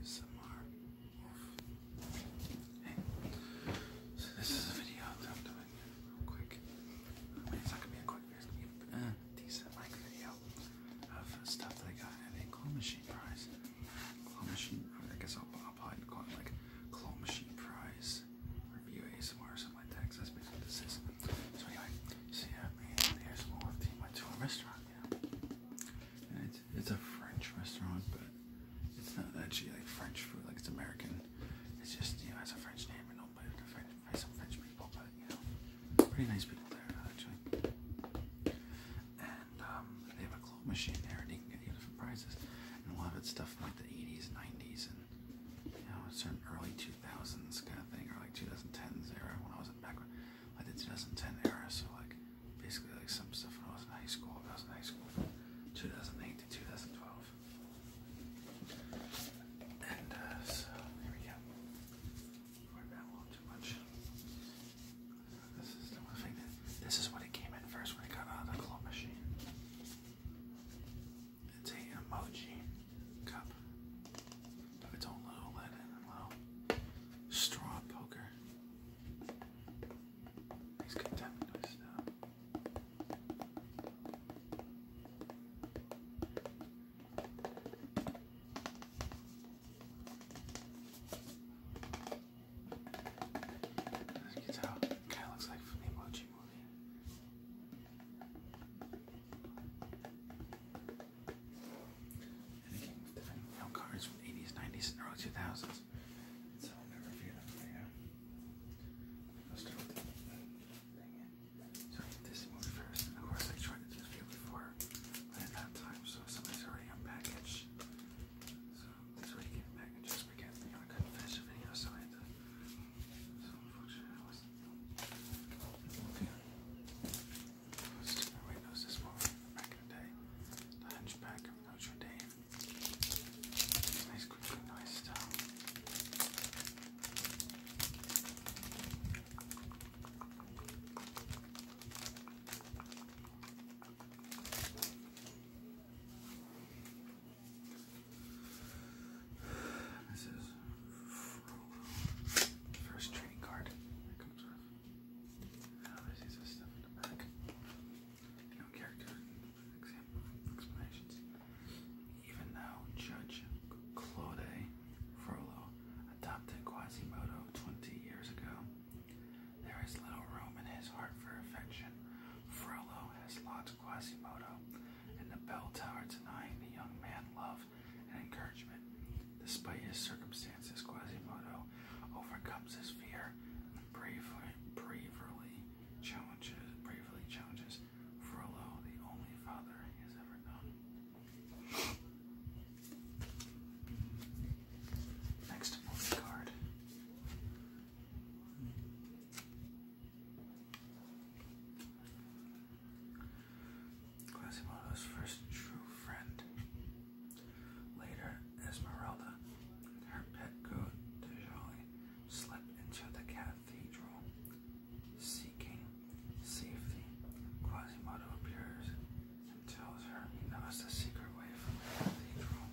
so this is a video that I'm doing real quick. it's not gonna be a quick video, it's gonna be a uh, decent length video of stuff that I got at a claw machine prize. Claw machine, I guess I'll, I'll probably call like claw machine prize review ASMR or something like that, that's basically what this is. So anyway, so yeah, man, here's more of the my tour restaurant, you it's, a French restaurant, but it's not actually like French food, like it's American. It's just, you know, it's a French name and owned by, like French, some French people, but, you know, pretty nice people there, actually. And um, they have a clothes machine there, and you can get you different prizes. And a lot of it's stuff from like the 80s, 90s, and, you know, certain early 2000s kind of thing, or like 2010s era, when I was in back, I did 2010 era, so like, basically like some stuff from when I was in high school. I was in high school, 2008 to 2012. And uh, here we go. too much. This is the thing that this is what it came in first when I got out of the claw machine. It's a emoji cup its own little lid little straw poker. He's good tapping to his Kind of looks like from the emoji movie. And it came with different mail cards from 80s, 90s, and early 2000s. So I'll never review them for you. I'll start with this movie first, of course I tried to do this before, but at that time, so somebody's already unpackaged. So this way you get packages because you know, I couldn't finish the video, so I had to. So unfortunately, Okay. Most everybody knows this one from back in the day. The Hunchback of Notre Dame. nice, quickly, nice stuff. This is First trading card there's Even though Judge Claude Frollo adopted Quasimodo 20 years ago, there is little room in his heart for affection. Frollo has lost Quasimodo, and the bell tower denying the young man love and encouragement. Despite his circumstances, Quasimodo overcomes his fear and bravely, bravely challenges bravely challenges Frollo, the only father he has ever known. Next movie card. Quasimodo's first true friend. Later, Esmeralda and her pet goat, Dejali, slip into the cathedral. Seeking safety, Quasimodo appears and tells her he knows the secret way from the cathedral.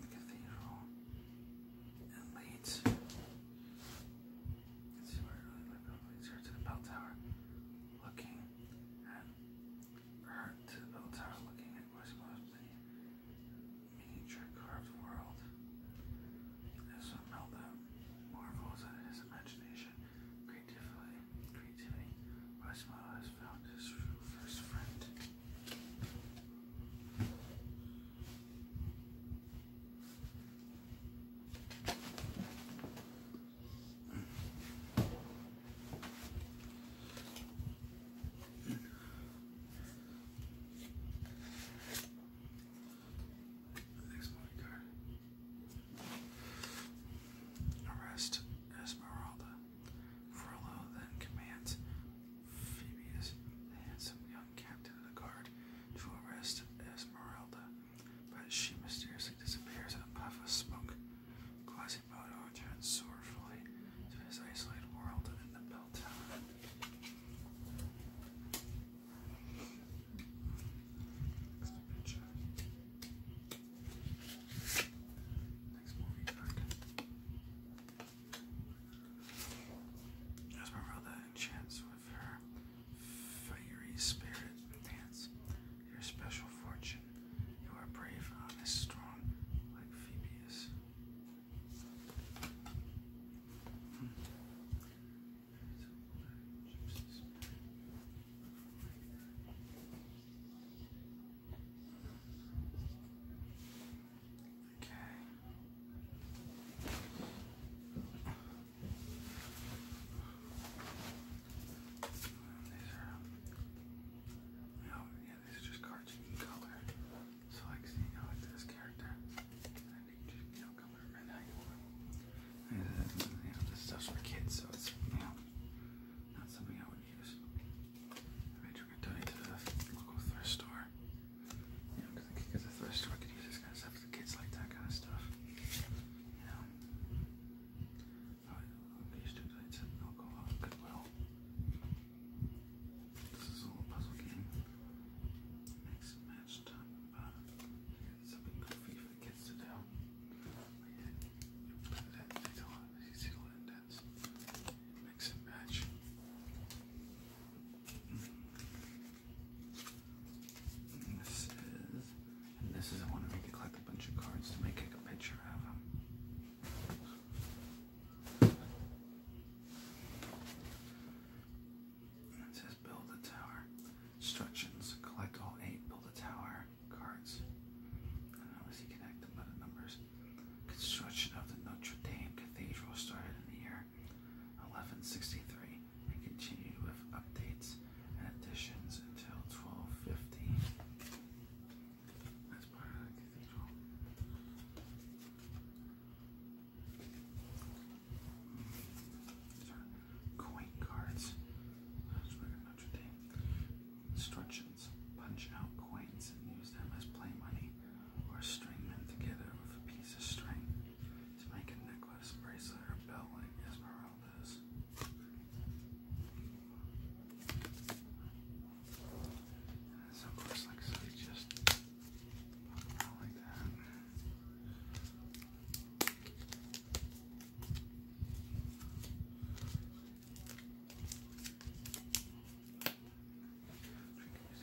The cathedral and leads can see really my properties the bell tower, looking at or to the bell tower, looking at what's supposed to be miniature carved world. As one meltdown marvels at his imagination, creativity, creativity. Westmore has found his true first friend. Arrest Esmeralda. Frollo then commands Phoebus, the handsome young captain of the guard, to arrest Esmeralda but she mysteriously disappears in a puff of smoke. Quasimodo returns sorrowfully to his isolated world in the bell tower. Next movie card. Esmeralda enchants her fiery spirit dance. Your special fortune. You are brave, honest, strong, like Phoebus. Okay. Hmm. These are, you yeah, these are just cards color. So, like, seeing you know, like this character, and you just, you color and And, uh, you know, this stuff's for kids, so it's, you know, not something I would use. I made sure to donate to the local thrift store. You know, because the thrift store could use this kind of stuff kids like that kind of stuff. You Alright, okay, you still like to alcohol, goodwill. This is all a puzzle game. Mix and match done, something goofy for kids to do. Mix and match. And this is, and this is, I want to make you collect a bunch of cards to make a picture of them. It says build a tower. Instructions, collect all eight build a tower cards. I don't know if you connect by the numbers. Construction of the Notre Dame Cathedral started in the year 1163 and continue with updates and additions until 1250. That's part of the cathedral. Coin cards. Notre Dame. Instructions. Punch out coins and use them as play money or string them together with a piece of string to make a necklace, bracelet, or belt like Esmeralda's. And so, of just like that. We can use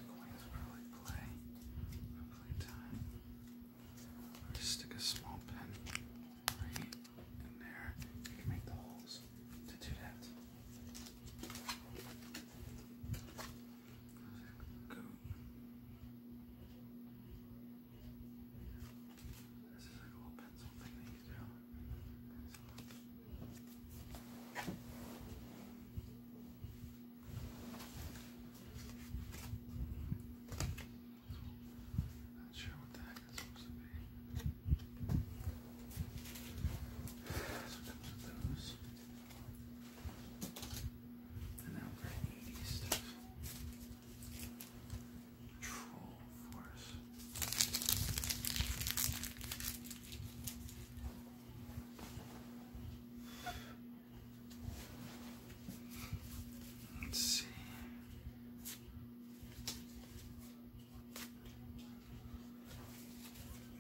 coins for like play. Just stick a small pen in there. You can make the holes to do that. Go. This is like a little pencil thing that you do. Not sure what the heck it's supposed to be. So comes with those. And now we're stuff. Troll force. Let's see.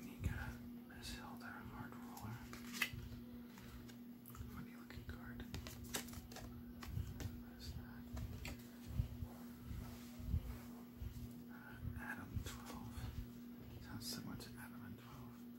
You got this held iron hard roller. Funny looking card. Uh, Adam 12. Sounds similar to Adam and 12.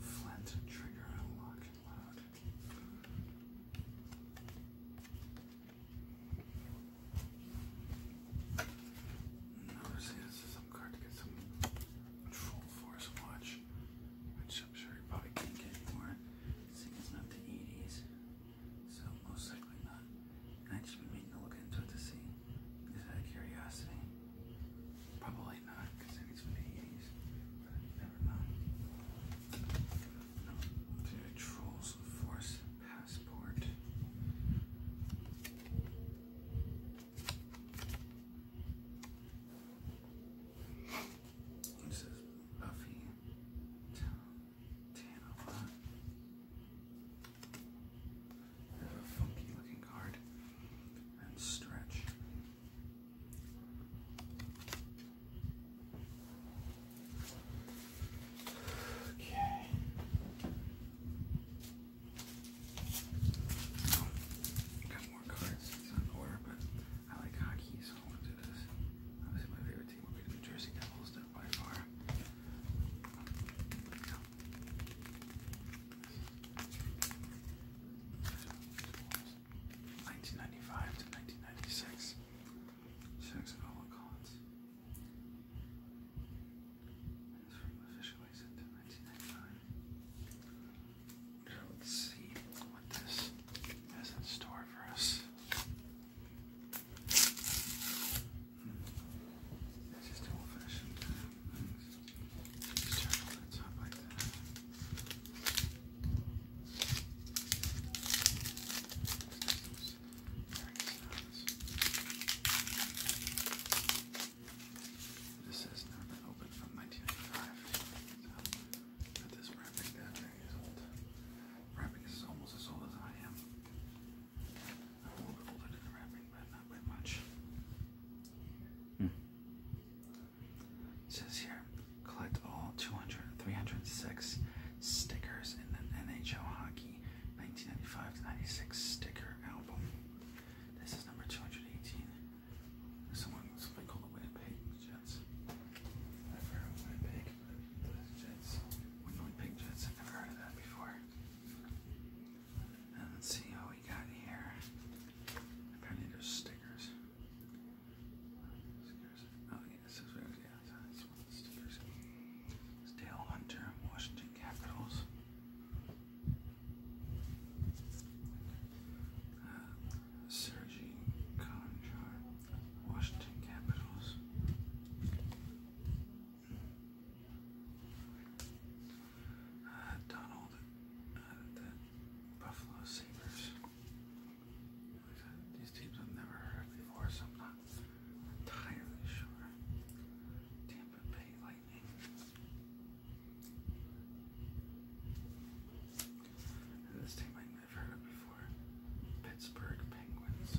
Flint trigger unlock and load. Notice this is card to get some full force watch, which I'm sure you probably can't get anymore. Seeing not the 80s, so most likely not. I just been meaning to look into it to see. Is that a curiosity? Probably not, because it's from the 80s. But never know. No. Trolls Force Passport. This is Buffy Tanala a funky looking card. And stretch. Okay. got more cards. It's not in order, but I like hockey, so I want to do this. Obviously, my favorite team would be the New Jersey Devils, they by far. 1995 to 1996. Six Collins. And this from officially sent to 1995. So let's see what this has in store for us. It's just old fashioned. Just turn all top like that. This has not been open from 1995. but this wrapping down there is old. Wrapping is almost as old as I am. It says here, collect all 200, stickers in the NHL Hockey 1995-96 sticker album. This is number 218. There's someone, something called the Winnipeg Jets. Winnipeg, Jets, Winnipeg Jets, never heard of that before let's see what we got here. I found stickers. Oh, Dale Hunter, Washington Capitals. Uh, Sergey Conchar, Washington Capitals. Donald the Buffalo Sabres. These teams I've never heard before, so I'm not entirely sure. Tampa Bay Lightning. this team I've never heard of before. Pittsburgh Penguins.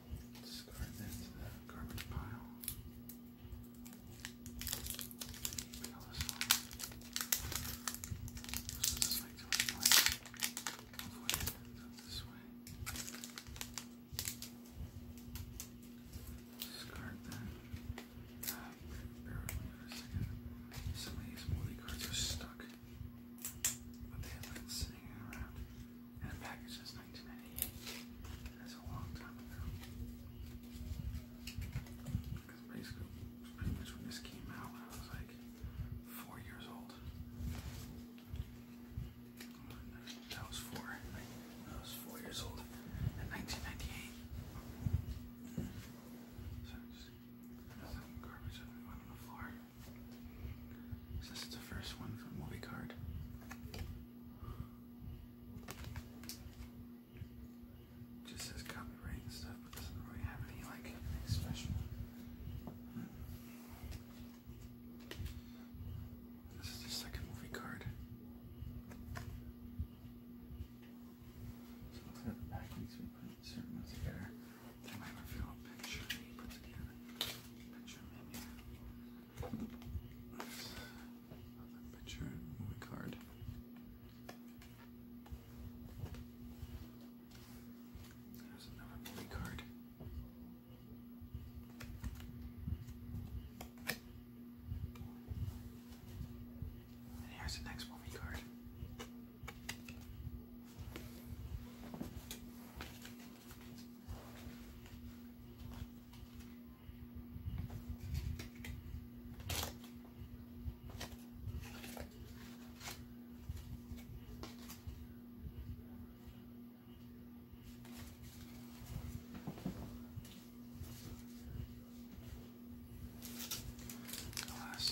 Discard that to the garbage pile. this way this way. Discard that. Uh, a second. Some of these moldy cards are stuck. But they have sitting around. That the package says 1998. that's a long time ago. Because basically, pretty much when this came out, I was like four years old. That was four. I was four years old in 1998. This is the first one from Movie Card. Just says copyright and stuff, but doesn't really have any like special. Hmm. This is the second movie card. So looks like the packings we put certain ones there's might have a picture of me put together. Picture picture movie card. There's another movie card. And here's the next movie card. The last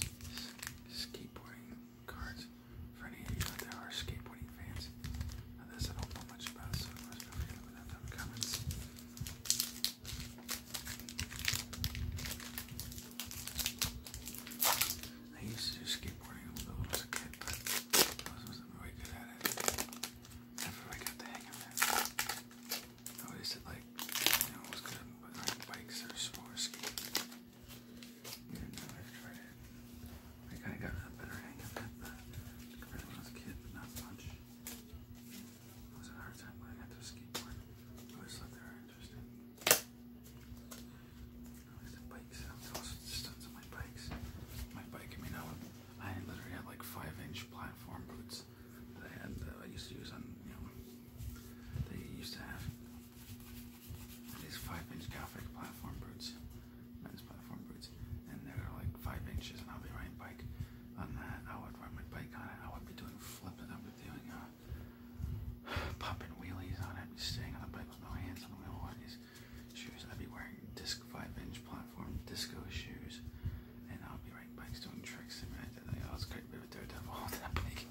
skateboarding cards for any of you out there are skateboarding fans. this I don't know much about, so of course feel free to comments. I used to do skateboarding a little when I was a kid, but I wasn't really good at it. Never really got the hang of it. I always did like, I was good at riding bikes or, or skating i kind of got a better hang of it but when I was a kid, not much. It was a hard time when I got to skateboard. I always thought they interesting. At the bikes. I was also my bikes. My bike, I mean, I, literally had like five-inch platform boots that I had uh, I used to use on, they used to have. That is five inch Gothic platform boots, men's platform boots, and they're like five inches. And I'll be riding bike on that. I would ride my bike on it. I would be doing flipping. I would be doing uh, popping wheelies on it. I'd be staying on the bike with no hands on the wheel these shoes. I'd be wearing disc five inch platform disco shoes, and I'll be riding bikes doing tricks. I I did like, I was quite a daredevil on that bike.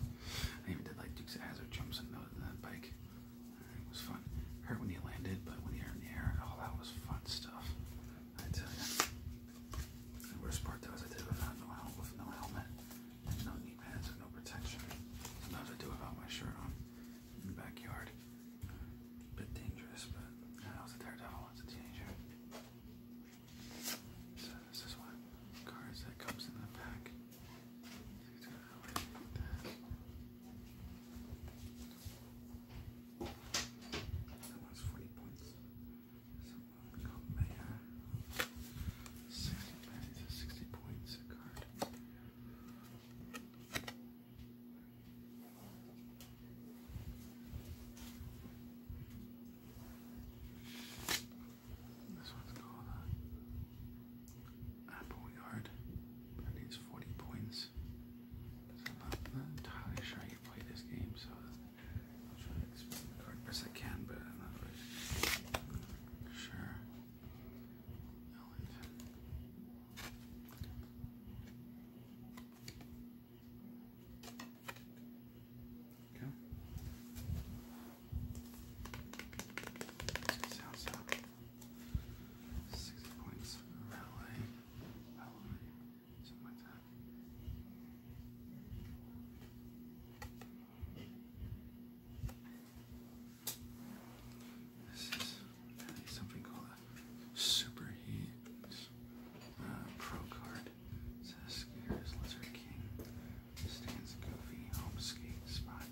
I even did like Dukes of Hazard jumps on that bike. It was fun. Hurt when you landed, but when you're in the air, all that was fun stuff. I tell you. The worst part though is I did it without no helmet, with no helmet, and no knee pads and no protection. Sometimes I do it without my shirt on in the backyard. bit dangerous, but yeah, I was a daredevil as a teenager. So this is one cards that comes in the pack. That one's 40 points. So we got Mayor. 60 points, 60 points a card. This one's called uh, Apple Yard. That needs 40 points. I'm not, entirely sure I can play this game, so I'll try to explain the card best I can, but I'm not really sure. Okay. Sounds up. Six points. Relay. Relay. Something called superheat uh, pro card. It says here is Lizard King stands Goofy, Home Skate Spot,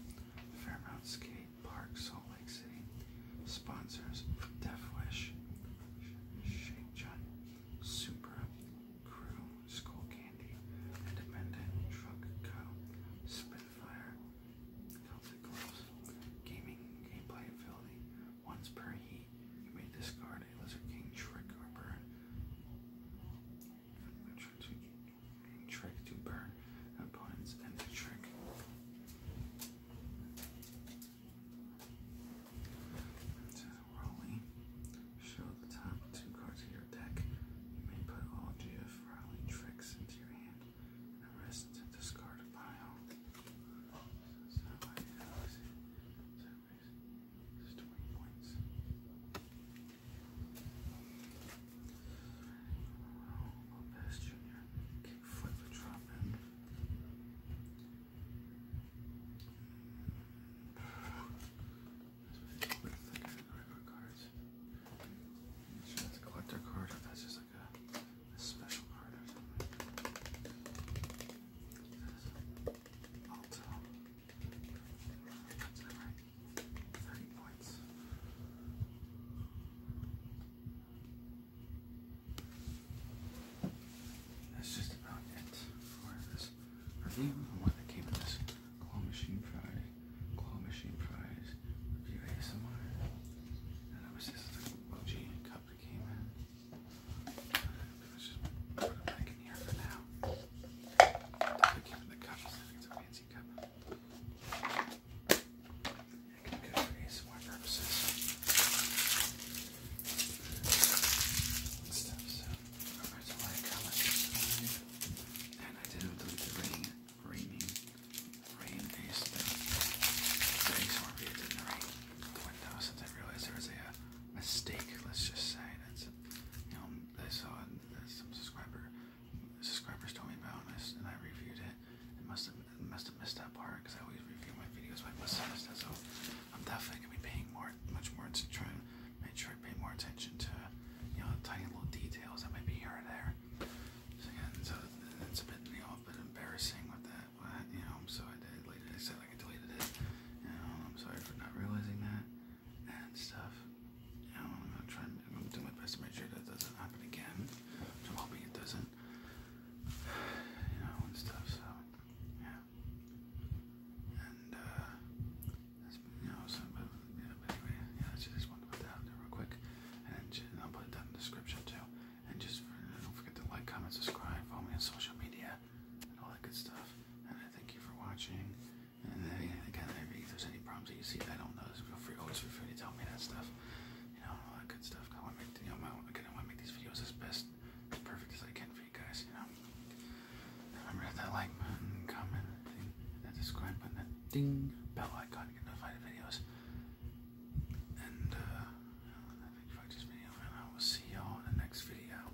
Fairmount Skate Park, Salt Lake City. Sponsors Defwish, Wish, Shake Supra, Crew, School Candy, Independent Truck Co., Spitfire, Celtic Gloves, Gaming Gameplay Ability. Once per heat, you may discard a Lizard King trick or burn trick to burn opponents and the trick. To Raleigh, show the top two cards of your deck. You may put all GF Raleigh tricks into your hand the rest into discard pile. So, so, so, so, so, so, so, so, so, so, so, Lopez Jr. flip a drop in. That's what I think of cards. Make sure a collector card that's just like a, special card or something. Alto. That's just about it for this review and what came with this claw machine prize. claw machine fries review ASMR. And that was just the OG cup that came in. just put it back in here for now. I'm keeping the cup. it's a fancy cup. It can be good for purposes. stuff. So remember to like, comment, And I didn't delete the rain, raining, rain based thing. The ASMR video did rain the window since I realized there was a mistake. Let's just say that's you know I saw uh, some subscriber subscribers told me about, and and I reviewed it. And must have must have missed that part because I always review my videos. But I must have so I'm definitely gonna be paying more, much more to try and make sure I pay more attention to you know tiny little details that might be here or there. So again, so it's a bit you know a bit embarrassing with that. But, you know, I'm so I did. Like I said, like I deleted it. You know, I'm sorry for not realizing that and stuff. You I'm gonna try. I'm gonna do my best to make sure that doesn't happen again. I'm hoping it doesn't. You know, and stuff. So yeah. And uh, that's, you know, so but, anyway, yeah. I just wanted to put that real quick, and, I'll put that in the description too. And just uh, don't forget to like, comment, subscribe, follow me on social media, and all that good stuff. And thank you for watching. And they, if there's any problems that you see I don't know, feel free always feel free to tell me that stuff. You know, all that good stuff. I want to make you know, my, again, I want to make these videos as best, as perfect as I can for you guys. You know, remember hit that like button, comment, ding, that subscribe button, that ding bell icon to get notified of videos. And uh, I for this video, and I will see y'all in the next video.